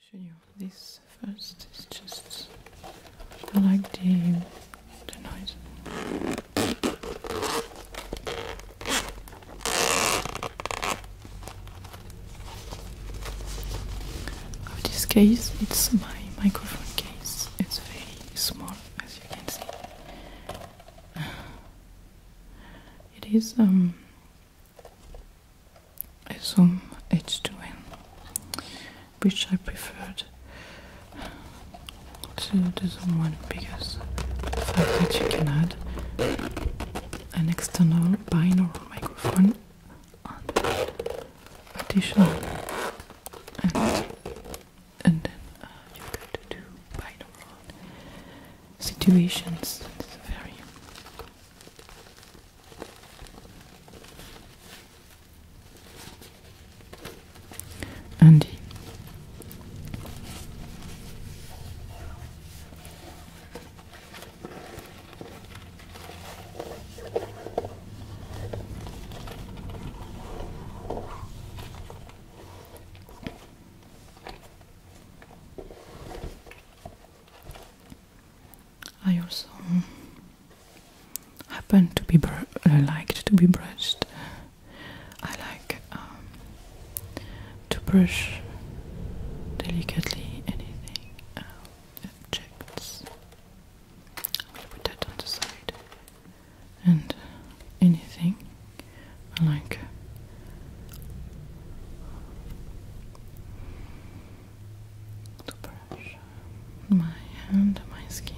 to show you this first it's just I like the noise of this case it's my microphone case it's very small as you can see it is um Zoom um, H2n, which I preferred to the one because the fact that you can add an external binaural microphone additional and, then uh, you've do binaural situations. Andy. I also happen to be uh, liked to be brushed. I like um, to brush delicately anything um, objects. I will put that on the side and anything I like to brush my hand, my skin.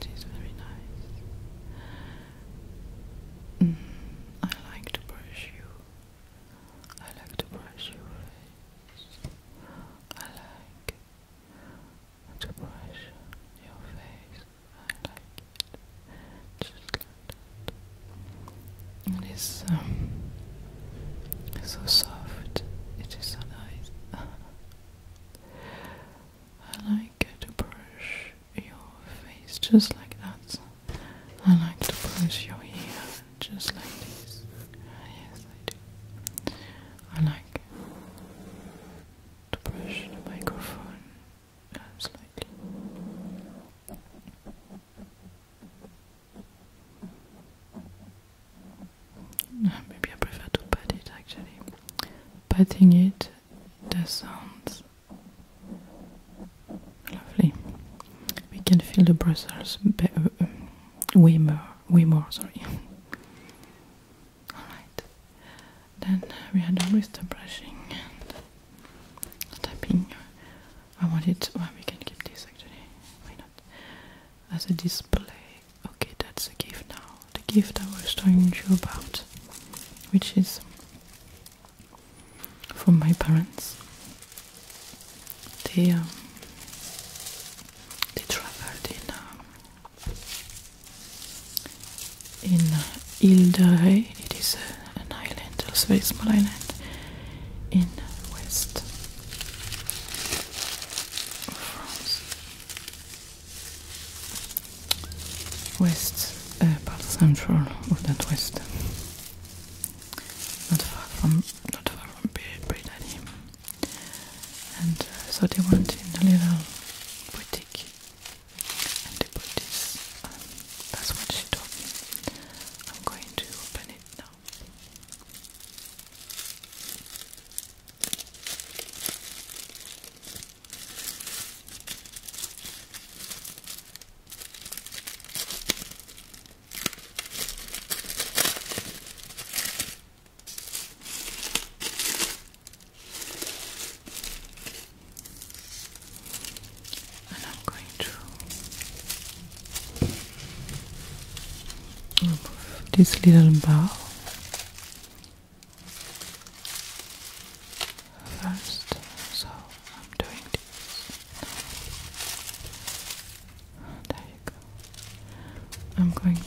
It is very nice. Mm, I like to brush you. I like to brush your face. I like to brush your face. I like it. Just like it um, is so soft. It is so nice. I like to brush your face just like that. I like to brush your hair just like this. Ah, yes, I do. I like to brush the microphone slightly. Maybe I prefer to pat it actually. Patting it, the sounds lovely. We can feel the Brussels be uh, um, way more, way more, sorry. Alright, then uh, we are done with the brushing tapping. I want it. well, we can keep this actually, why not? As a display. Okay, that's a gift now. The gift I was telling you about, which is from my parents. They um, they traveled in um, in Ile de Ré. It is an island, also a small island in west of France. West, uh, part central of that west. Not far from, not far from Brittany. And uh, so they went in a little boutique and they put this, um, that's what she told me. I'm going to open it now. And I'm going to remove this little bar first. So I'm doing this. There you go. I'm going to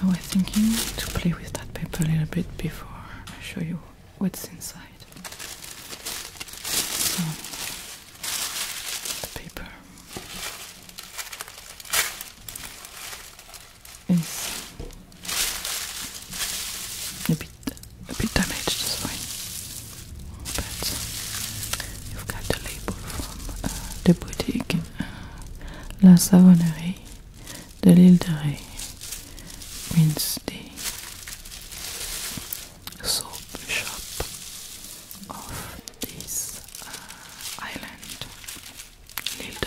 Oh, I was thinking to play with that paper a little bit before I show you what's inside. paper is a bit, a bit damaged is fine. But you've got the label from uh, the boutique uh, La Savonnerie de l'Île de Ré soap shop of this uh, island, l'Île de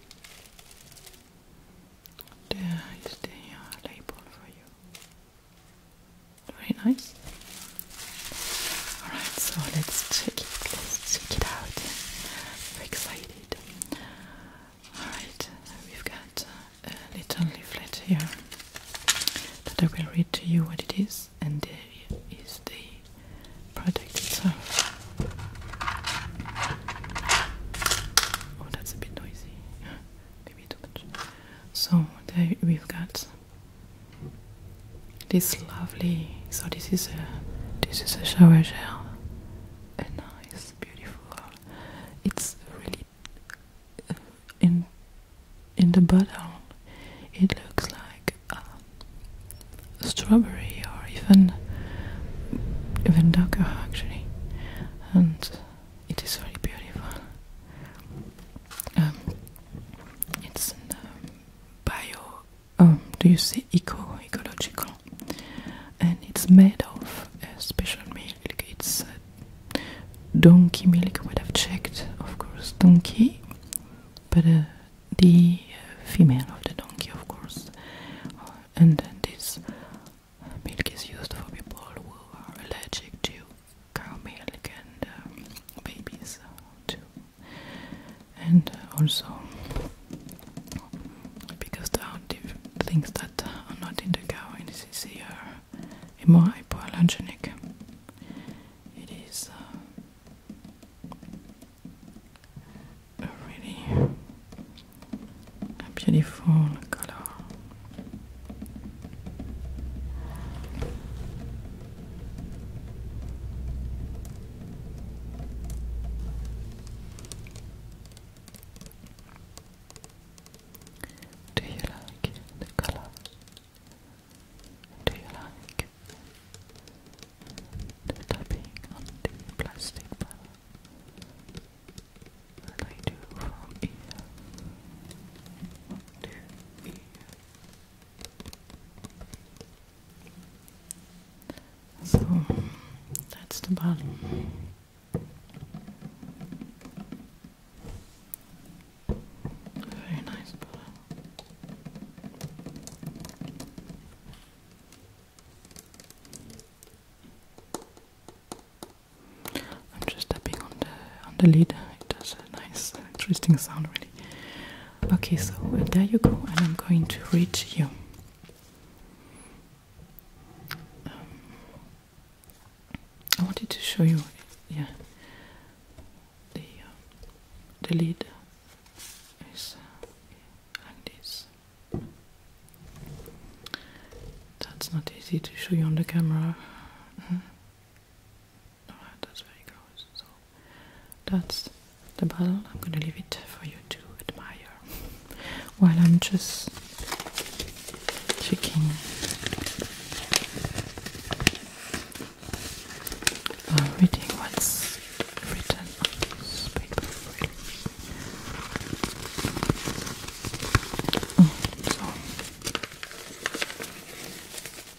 There is the uh, label for you. Very nice. Alright, so let's check it. Let's check it out. Very excited. Alright, we've got uh, a little leaflet here that I will read to you what it is, and there is the project Oh, that's a bit noisy. Maybe too much. So there we've got this lovely. So this is a this is a shower gel. A nice, beautiful. Uh, it's really uh, in in the bottle. It looks like. Uh, strawberry or even even darker actually and it is very beautiful um, it's in um, bio um, do you say eco ecological and it's made of uh, special milk it's uh, donkey milk but I've checked of course donkey but uh, the female of the donkey, of course, uh, and then this milk is used for people who are allergic to cow milk and uh, babies uh, too, and also because there are things that are not in the cow, and this is here more hypoallergenic. It is a really beautiful color. Do you like the color? Do you like the tapping on the plastic bottle that I do from ear to ear? So that's the bottom. Very nice I'm just tapping on the on the lid. It does a nice, interesting sound, really. Okay, so uh, there you go, and I'm going to read you. Um, I wanted to show you, yeah, the uh, the lid is like uh, this. That's not easy to show you on the camera. Mm-hmm. that's very close. So that's the bottle. I'm gonna leave it for you to admire while I'm just checking uh, reading what's written mm, so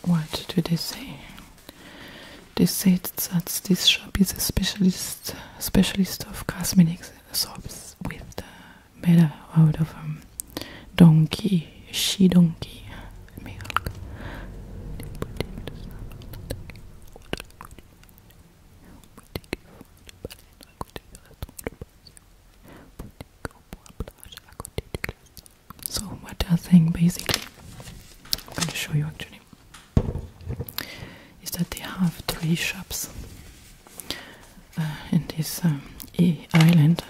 what do they say? They said that this shop is a specialist specialist of cosmetics soaps with uh, made out of them. Um, donkey, she donkey. Let So what I think basically I'm going to show you actually is that they have three shops uh, in this um, island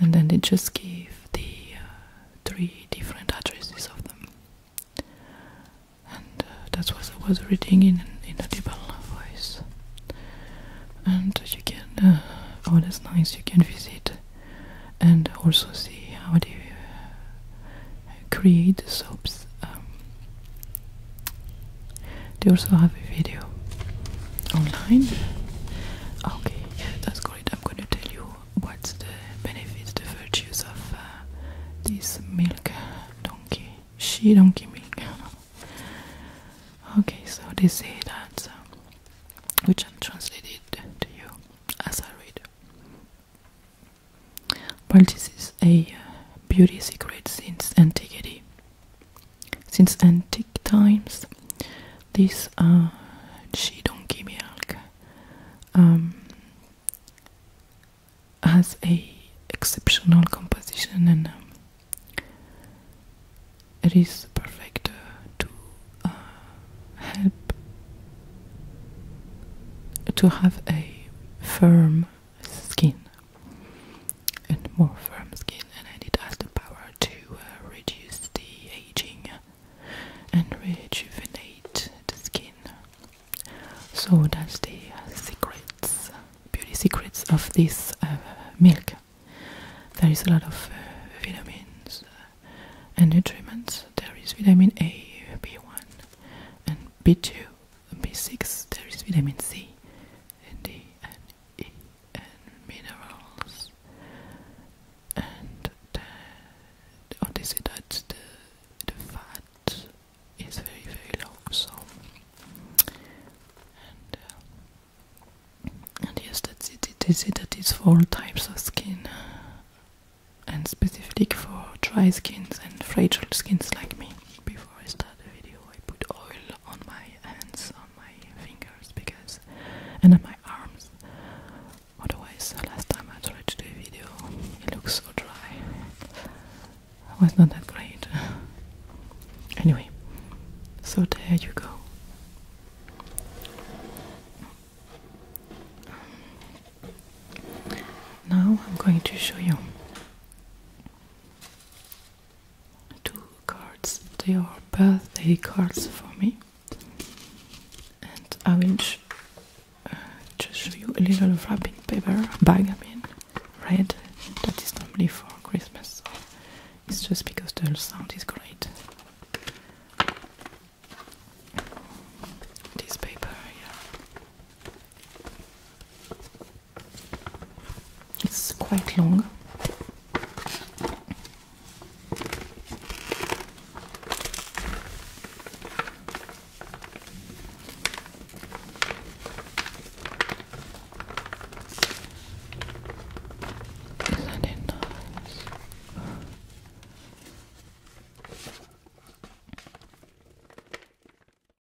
and then they just gave the uh, three different addresses of them and uh, that's what I was reading in, in a Dibal voice and you can, uh, oh that's nice, you can visit and also see how they uh, create the soaps um, they also have a video online. Okay, yeah, that's great. I'm going to tell you what's the benefits, the virtues of uh, this milk donkey, she donkey milk. okay, so they say that, um, which I'm translated to you as I read. Well, this is a uh, beauty secret since antiquity. Since antique times, this uh, um, has a exceptional composition and um, it is perfect uh, to uh, help to have a firm skin and more firm skin, and it has the power to uh, reduce the aging and rejuvenate the skin. So that's the secrets, beauty secrets of this uh, milk. There is a lot of uh, vitamins and nutrients. There is vitamin A, B1, and B2, B6. There is vitamin C, and D, and minerals and the, oh, they say that the, the fat is very very low so and, uh, and yes that's it they say that it's for all types of skin and specifically for dry skins and fragile skins like me before I start the video I put oil on my hands, on my fingers because and on my arms. Otherwise last time I tried to do a video it looks so dry. It was not that great. Anyway, so there you go. Now I'm going to show you two cards. They are birthday cards for me, and I will uh, just show you a little wrapping paper bag. I mean, red. That is normally for Christmas. It's just because the sound is great. This paper, yeah. It's quite long. Isn't it nice?